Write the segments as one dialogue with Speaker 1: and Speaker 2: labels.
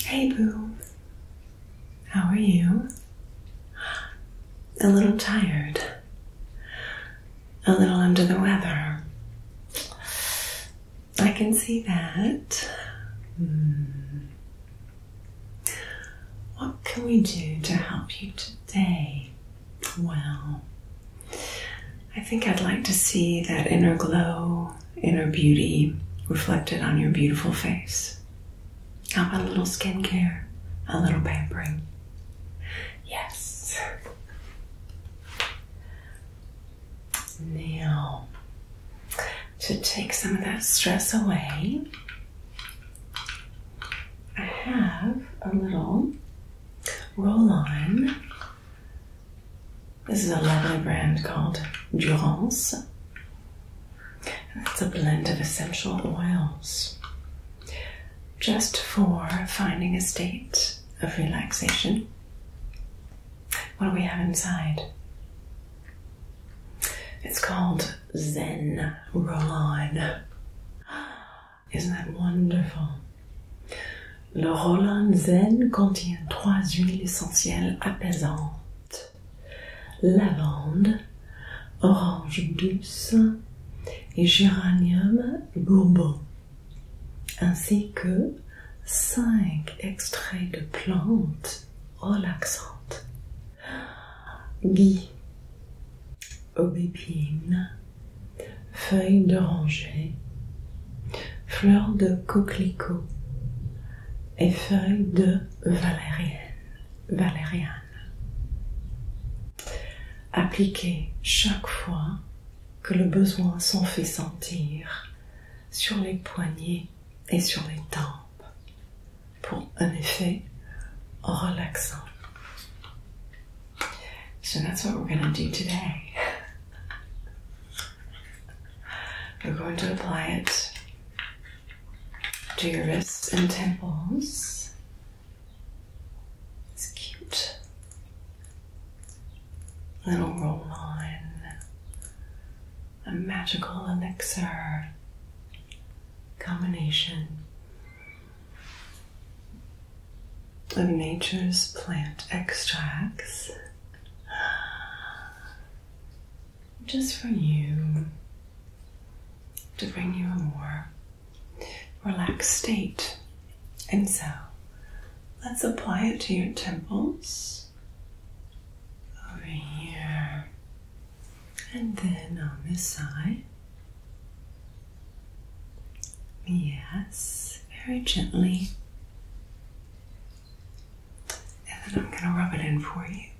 Speaker 1: Hey, Boo. How are you? A little tired. A little under the weather. I can see that. Hmm. What can we do to help you today? Well, I think I'd like to see that inner glow inner beauty reflected on your beautiful face. How about a little skincare, a little pampering? Yes. Now, to take some of that stress away, I have a little roll on this is a lovely brand called Durance. And it's a blend of essential oils just for finding a state of relaxation. What do we have inside? It's called Zen Roll On. Isn't that wonderful? Le Rollon Zen contient trois huiles essentielles apaisantes. lavande, orange douce et géranium bourbon, ainsi que 5 extraits de plantes relaxantes. Gui, aubépine, feuilles d'oranger, fleurs de coquelicot, et feuilles de valérienne. valériane. Appliquez chaque fois que le besoin s'en fait sentir sur les poignets et sur les tempes pour un effet relaxant. So that's what we're going do today. We're going to apply it to your wrists and temples. It's cute. Little roll on, a magical elixir combination of nature's plant extracts just for you to bring you a more relaxed state. And so let's apply it to your temples over here and then on this side. Yes, very gently. And then I'm going to rub it in for you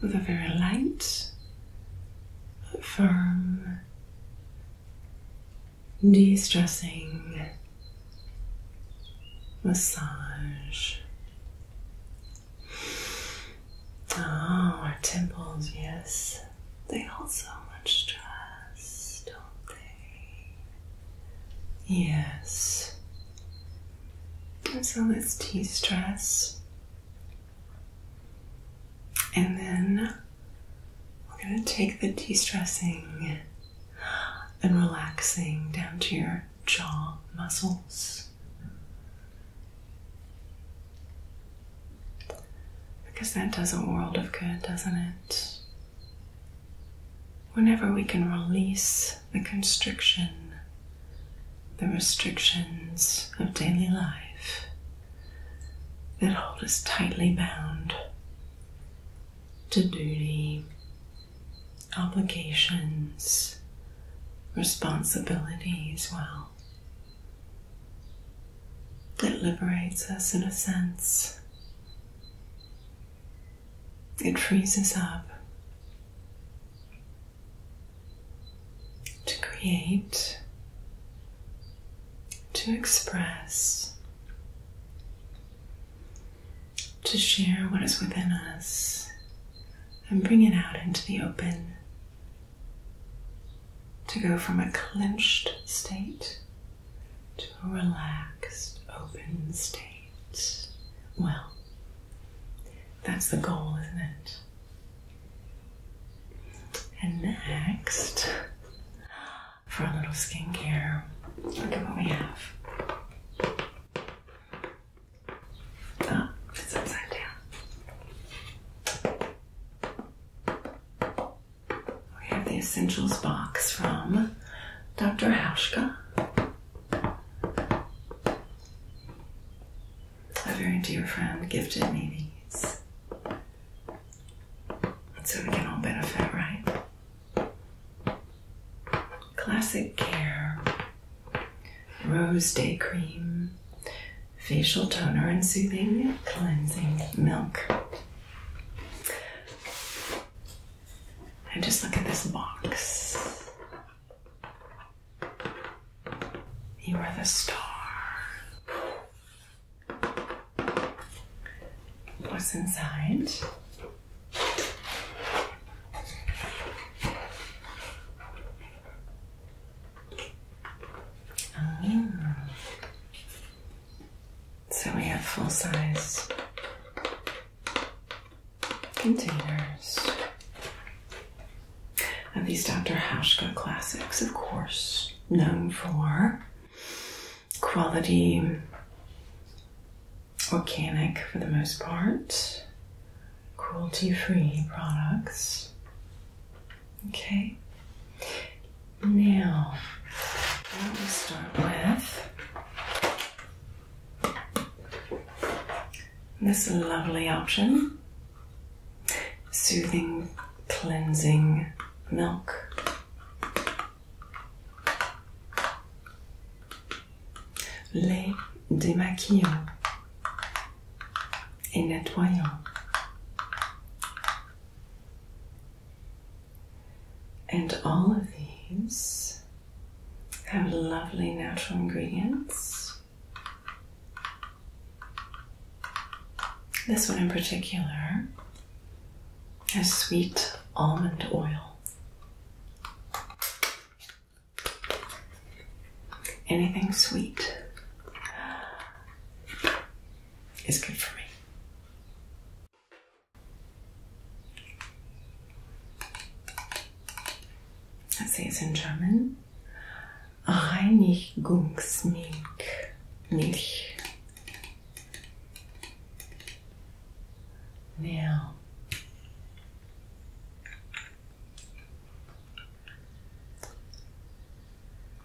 Speaker 1: with a very light, firm, de stressing massage. Oh, our temples, yes, they hold so much stress, don't they? Yes. so let's de stress. And then we're going to take the de stressing and relaxing down to your jaw muscles. Because that does a world of good, doesn't it? Whenever we can release the constriction, the restrictions of daily life that hold us tightly bound to duty, obligations, responsibilities, well. that liberates us in a sense. It freezes up to create, to express, to share what is within us and bring it out into the open. To go from a clenched state to a relaxed, open state. Well, that's the goal, isn't it? And next, for a little skincare, look at what we have. Oh, it's upside down. We have the essentials box from Dr. Hauschka. A very dear friend gifted me these. So we can all benefit, right? Classic Care Rose Day Cream Facial Toner and Soothing Cleansing Milk. And just look at this box. You are the star. What's inside? Ah. So we have full size containers of these Dr. Hauschka classics, of course, known for quality, organic for the most part, cruelty free products. Okay, now, let will start with this lovely option soothing, cleansing milk. lait démaquillant et nettoyant and all of these have lovely natural ingredients. This one in particular has sweet almond oil. Anything sweet is good for me. Let's say it in German. Reinigungsmilch. Milch. Now,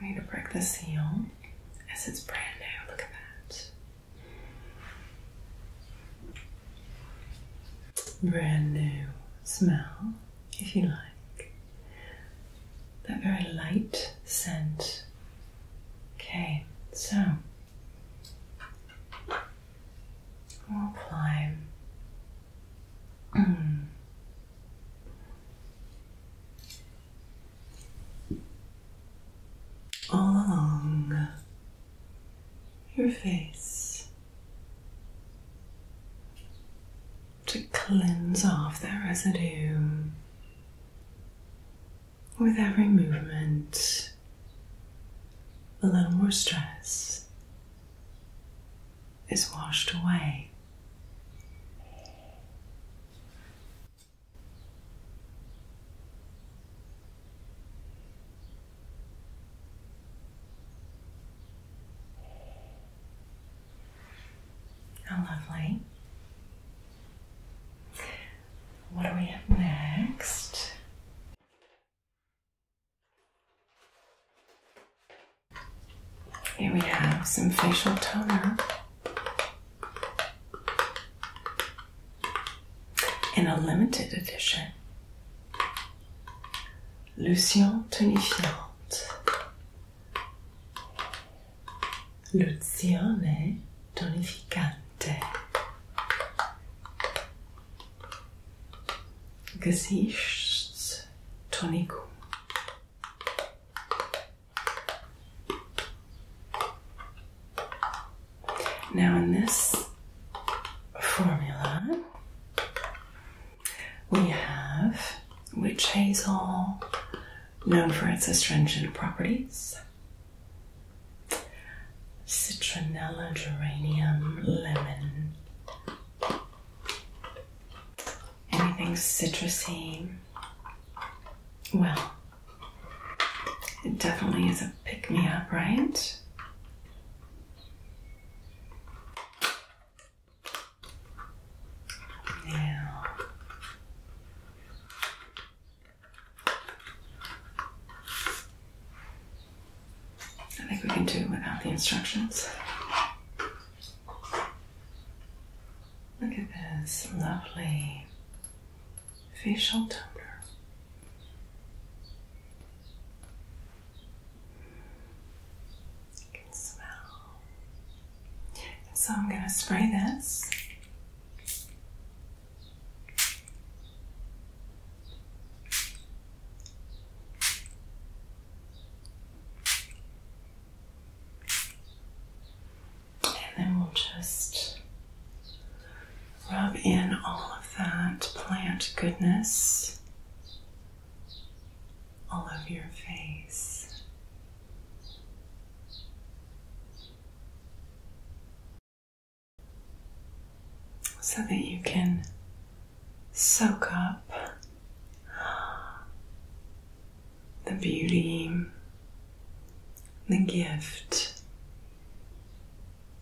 Speaker 1: i need to break the seal as it's brand new. Look at that brand new smell, if you like. That very light scent. Okay, so we'll all along your face to cleanse off that residue with every movement, a little more stress is washed away. How lovely. What do we have next? Here we have some facial toner in a limited edition Lucien tonifiante Luzione tonificante Gesichtstoniko now, in this formula, we have witch hazel, known for its astringent properties, citronella, geranium, lemon, anything citrusy. Well, it definitely is a pick me up, right? Now, I think we can do without the instructions. Look at this lovely facial toner. You can smell. so I'm going to spray this. And then we'll just rub in all of that plant goodness all over your face. So that you can soak up the beauty, the gift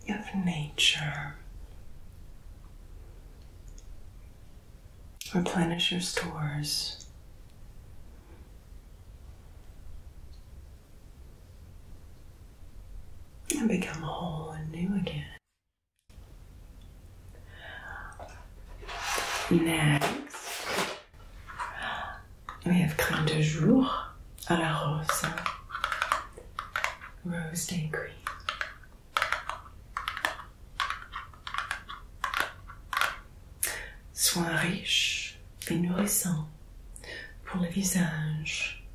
Speaker 1: of nature. Replenish your stores. And become whole and new again. Next, We have crème de jour à la rose. Rose day green. Soins riches et nourrissants pour le visage.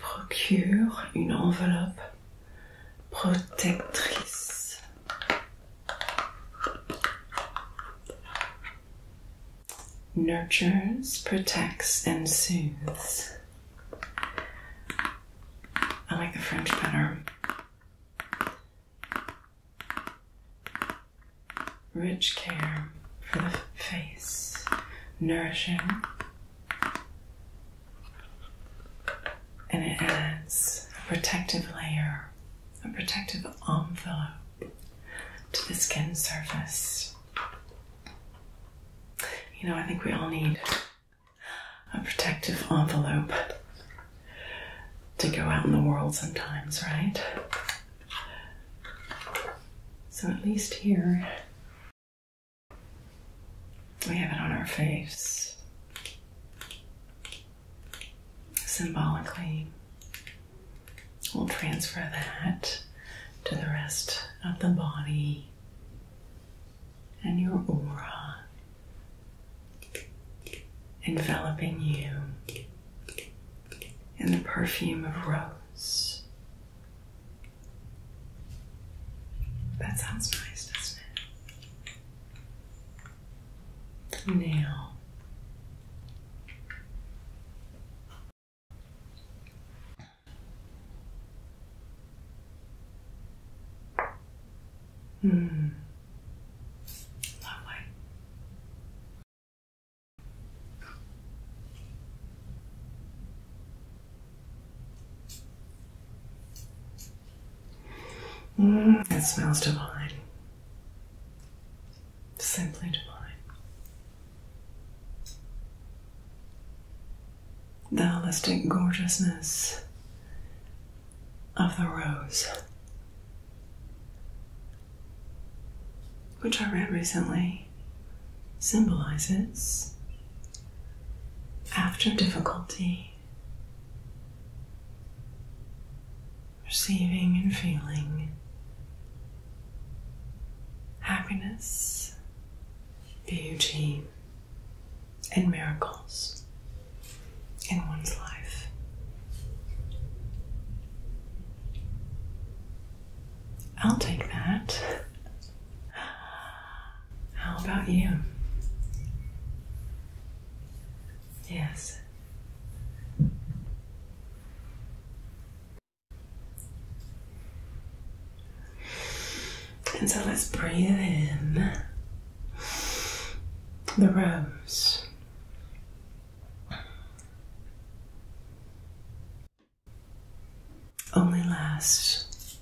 Speaker 1: Procure une enveloppe protectrice. nurtures, protects, and soothes. I like the French better. Rich care for the face, nourishing, and it adds a protective layer, a protective envelope to the skin surface. You know, I think we all need a protective envelope to go out in the world sometimes, right? So at least here we have it on our face symbolically We'll transfer that to the rest of the body and your aura enveloping you in the perfume of rose. That sounds nice, doesn't it? Now, Hmm. Hmm, that Lovely. Mm, it smells divine. Simply divine. The holistic gorgeousness of the rose, which I read recently, symbolizes after difficulty, receiving and feeling happiness, beauty, and miracles in one's life. I'll take that. How about you? Yes. And so let's breathe in the rose. Only lasts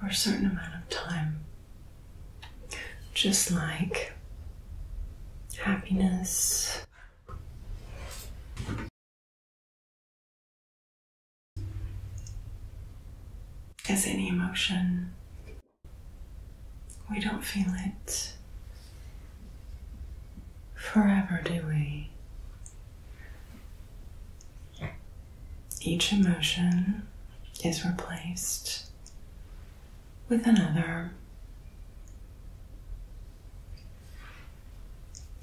Speaker 1: for a certain amount of time. Just like happiness as any emotion, we don't feel it forever, do we? Each emotion is replaced with another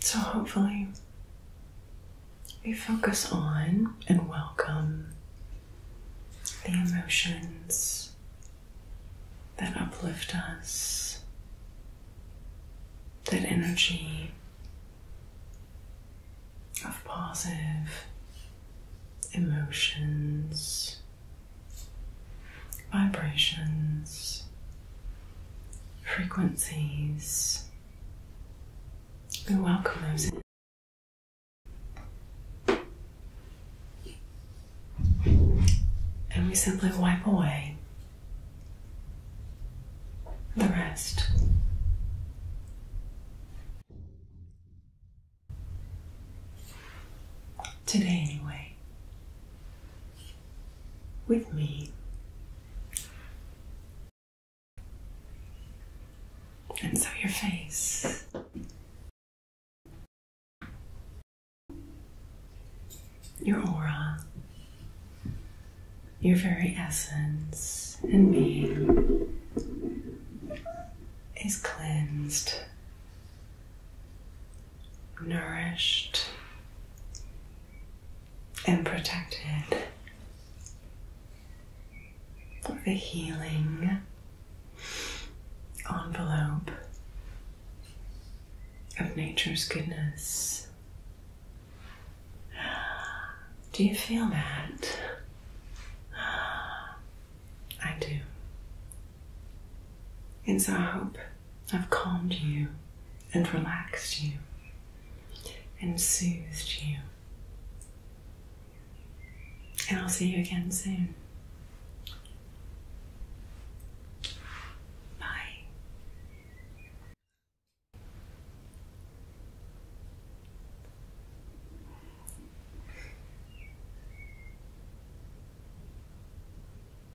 Speaker 1: so, hopefully, we focus on and welcome the emotions that uplift us, that energy of positive emotions vibrations, frequencies. We welcome those And we simply wipe away the rest. Today, anyway with me. And so your face. Your aura, your very essence and me is cleansed nourished and protected with the healing envelope of nature's goodness. Do you feel that? I do. And so I hope I've calmed you and relaxed you and soothed you. And I'll see you again soon. Bye.